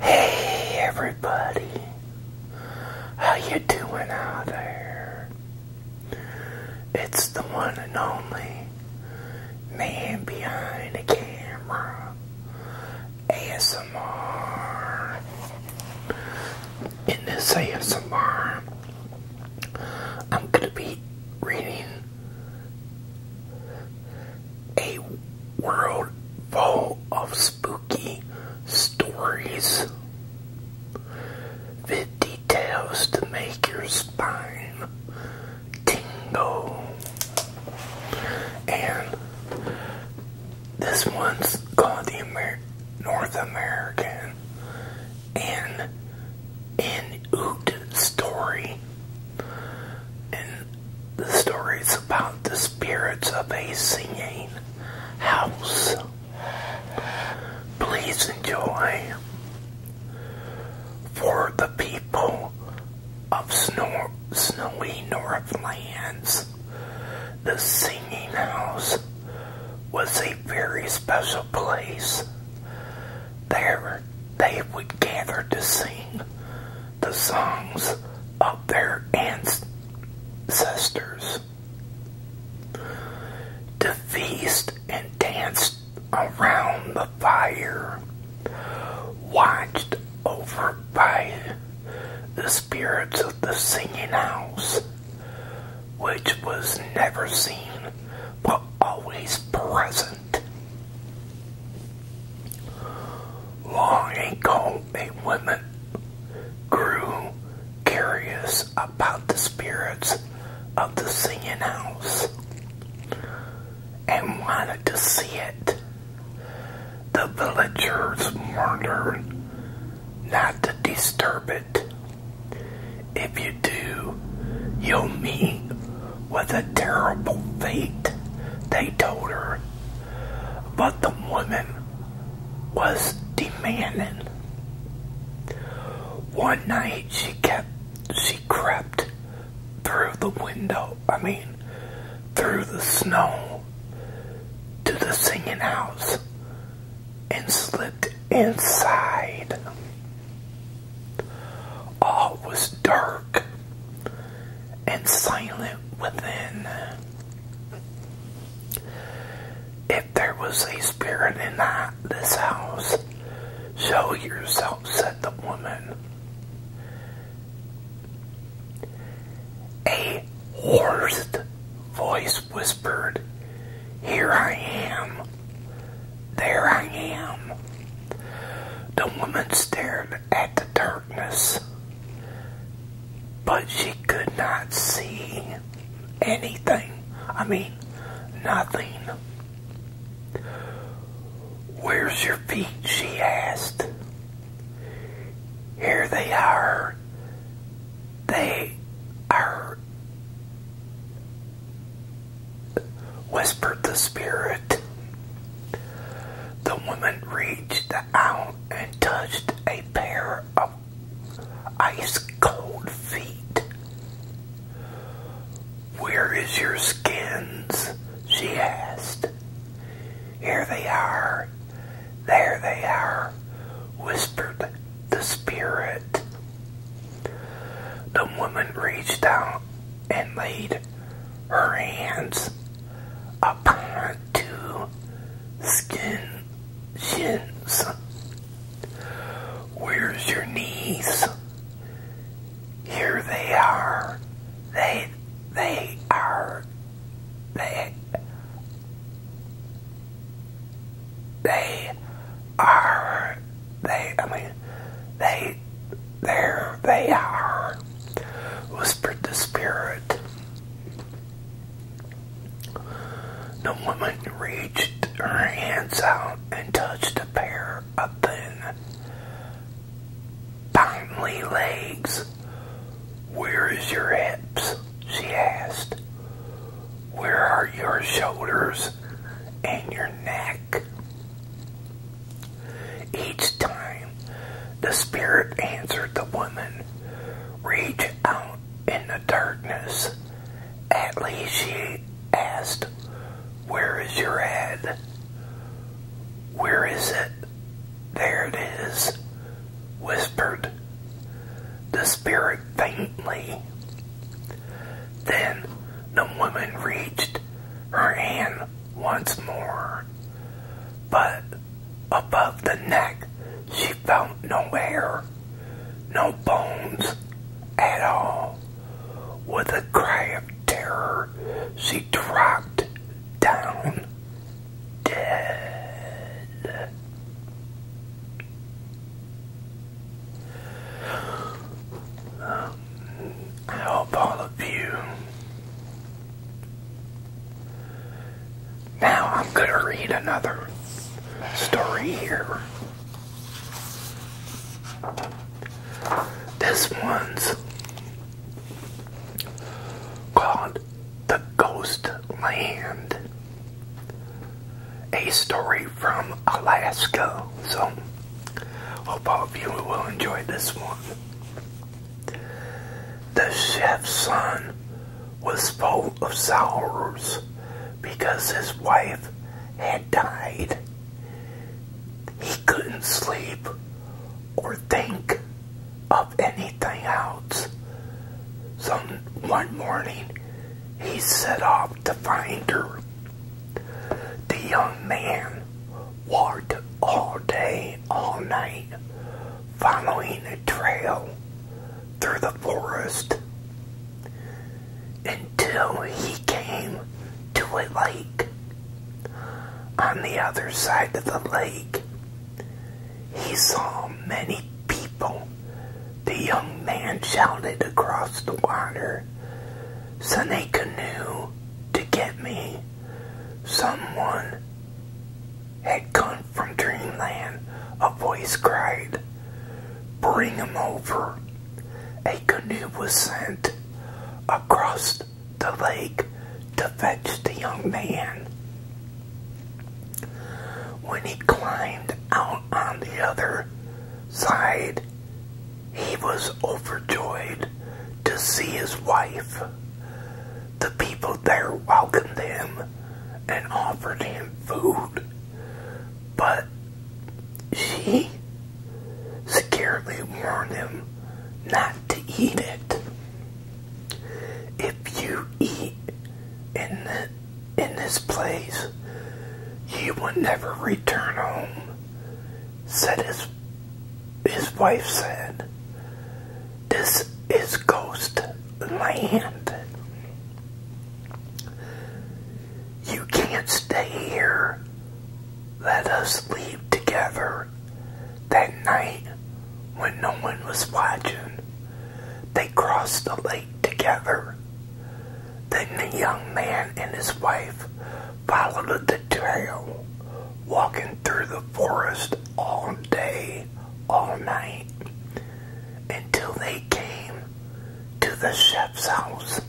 Hey everybody, how you doing out there? It's the one and only man behind the camera, ASMR. In this ASMR, I'm gonna be reading a world full of spooky stories with details to make your spine tingle. And this one's called the North American and Inuit Story and the stories about the spirits of a singing house. Please enjoy for the people of snowy northlands. The singing house was a very special place there they would gather to sing the songs of their ancestors, to feast and dance around the fire, watched over by the spirits of the singing house, which was never seen but always present. Long ago, a woman grew curious about the spirits of the singing house and wanted to see it. The villagers warned her not to disturb it. If you do, you'll meet with a terrible fate, they told her. But the woman was demanding. One night she kept she crept through the window, I mean through the snow to the singing house and slipped inside. All was dark and silent within. If there was a spirit in this house, show yourself, said the woman. A hoarse voice whispered, Here I am. There I am. The woman stared at the darkness, but she could not see anything. I mean, nothing. Where's your feet? she asked. Here they are. They are whispered the spirit. The woman reached out and touched a pair of ice cold feet. Where is your skins? she asked. Here they are, there they are, whispered the spirit. The woman reached out and laid her hands upon two skin shins. Where's your knees? Here they are. They, they are. They they are, they, I mean, they, there they are, whispered the spirit. The woman reached her hands out and touched a pair of thin, finely legs. Where is your hips? she asked. Where are your shoulders and your neck? Each time the Spirit answered the woman, Reach out in the darkness. At least she asked, Where is your head? Where is it? There it is whispered the spirit faintly. Then the woman reached her hand once more, but above the neck she felt no hair, no bones at all. With a cry of terror, she dropped down dead. I hope all of you. Now I'm going to read another story here. This one's called the Ghost Land. A story from Alaska. So, hope all of you will enjoy this one. The chef's son was full of sorrows because his wife had died. He couldn't sleep or think of anything else. So one morning, he set off to find her. The young man walked all day, all night, following a trail through the forest until he came to a lake. On the other side of the lake, he saw many people. The young man shouted across the water, Send a canoe to get me. Someone had come from dreamland, a voice cried, Bring him over. A canoe was sent across the lake to fetch the young man. When he climbed out on the other side, he was overjoyed to see his wife. The people there welcomed him and offered him food, but she securely warned him not to eat it. If you eat in in this place, you will never return home," said his his wife. Said, "This is ghost land. You can't stay here. Let us leave together that night, when no one was watching, they crossed the lake together. Then the young man and his wife followed the trail, walking through the forest all day, all night, until they came to the chef's house.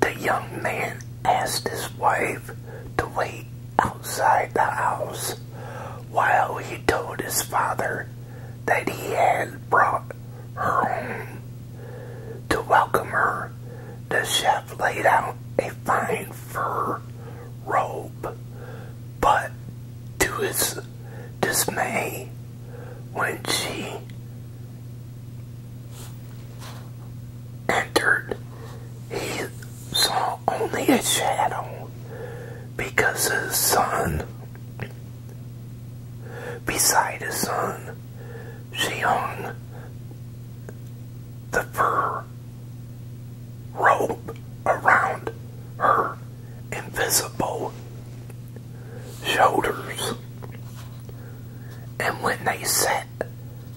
The young man asked his wife to wait outside the house while he told his father that he had brought her home. To welcome her, the chef laid out a fine fur robe, but to his dismay, when she entered, he saw only a shadow because his son, beside his son, she hung the fur robe around her invisible shoulders and when they sat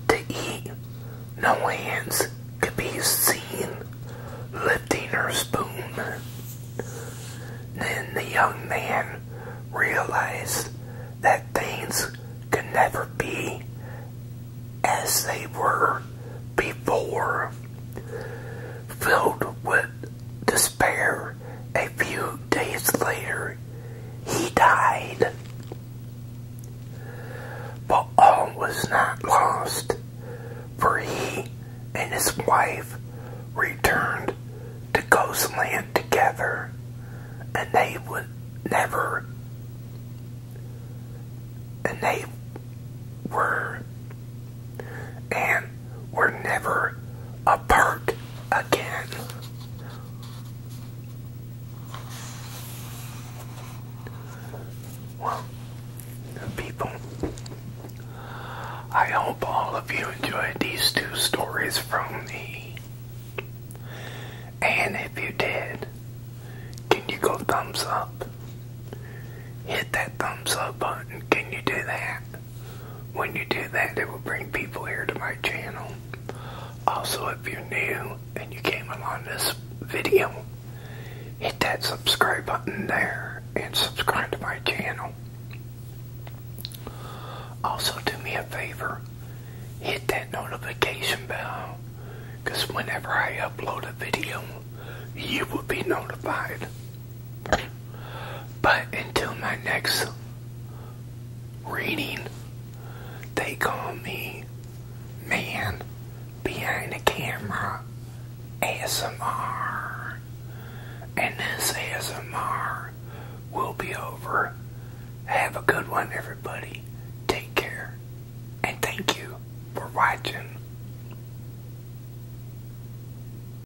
to eat, no hands could be seen lifting her spoon. Then the young man realized that things could never be as they were before. Filled with despair a few days later, he died. But all was not lost, for he and his wife returned to Ghostland together, and they would never, and they were, and were never apart again. Well, people, I hope all of you enjoyed these two stories from me. And if you did, can you go thumbs up? Hit that thumbs up button. Can you do that? When you do that, it will bring people here to my channel. Also, if you're new and you came along this video, hit that subscribe button there and subscribe to my channel. Also, do me a favor, hit that notification bell because whenever I upload a video, you will be notified. But until my next reading, they call me Man Behind the Camera ASMR. And this ASMR will be over. Have a good one, everybody. Take care. And thank you for watching.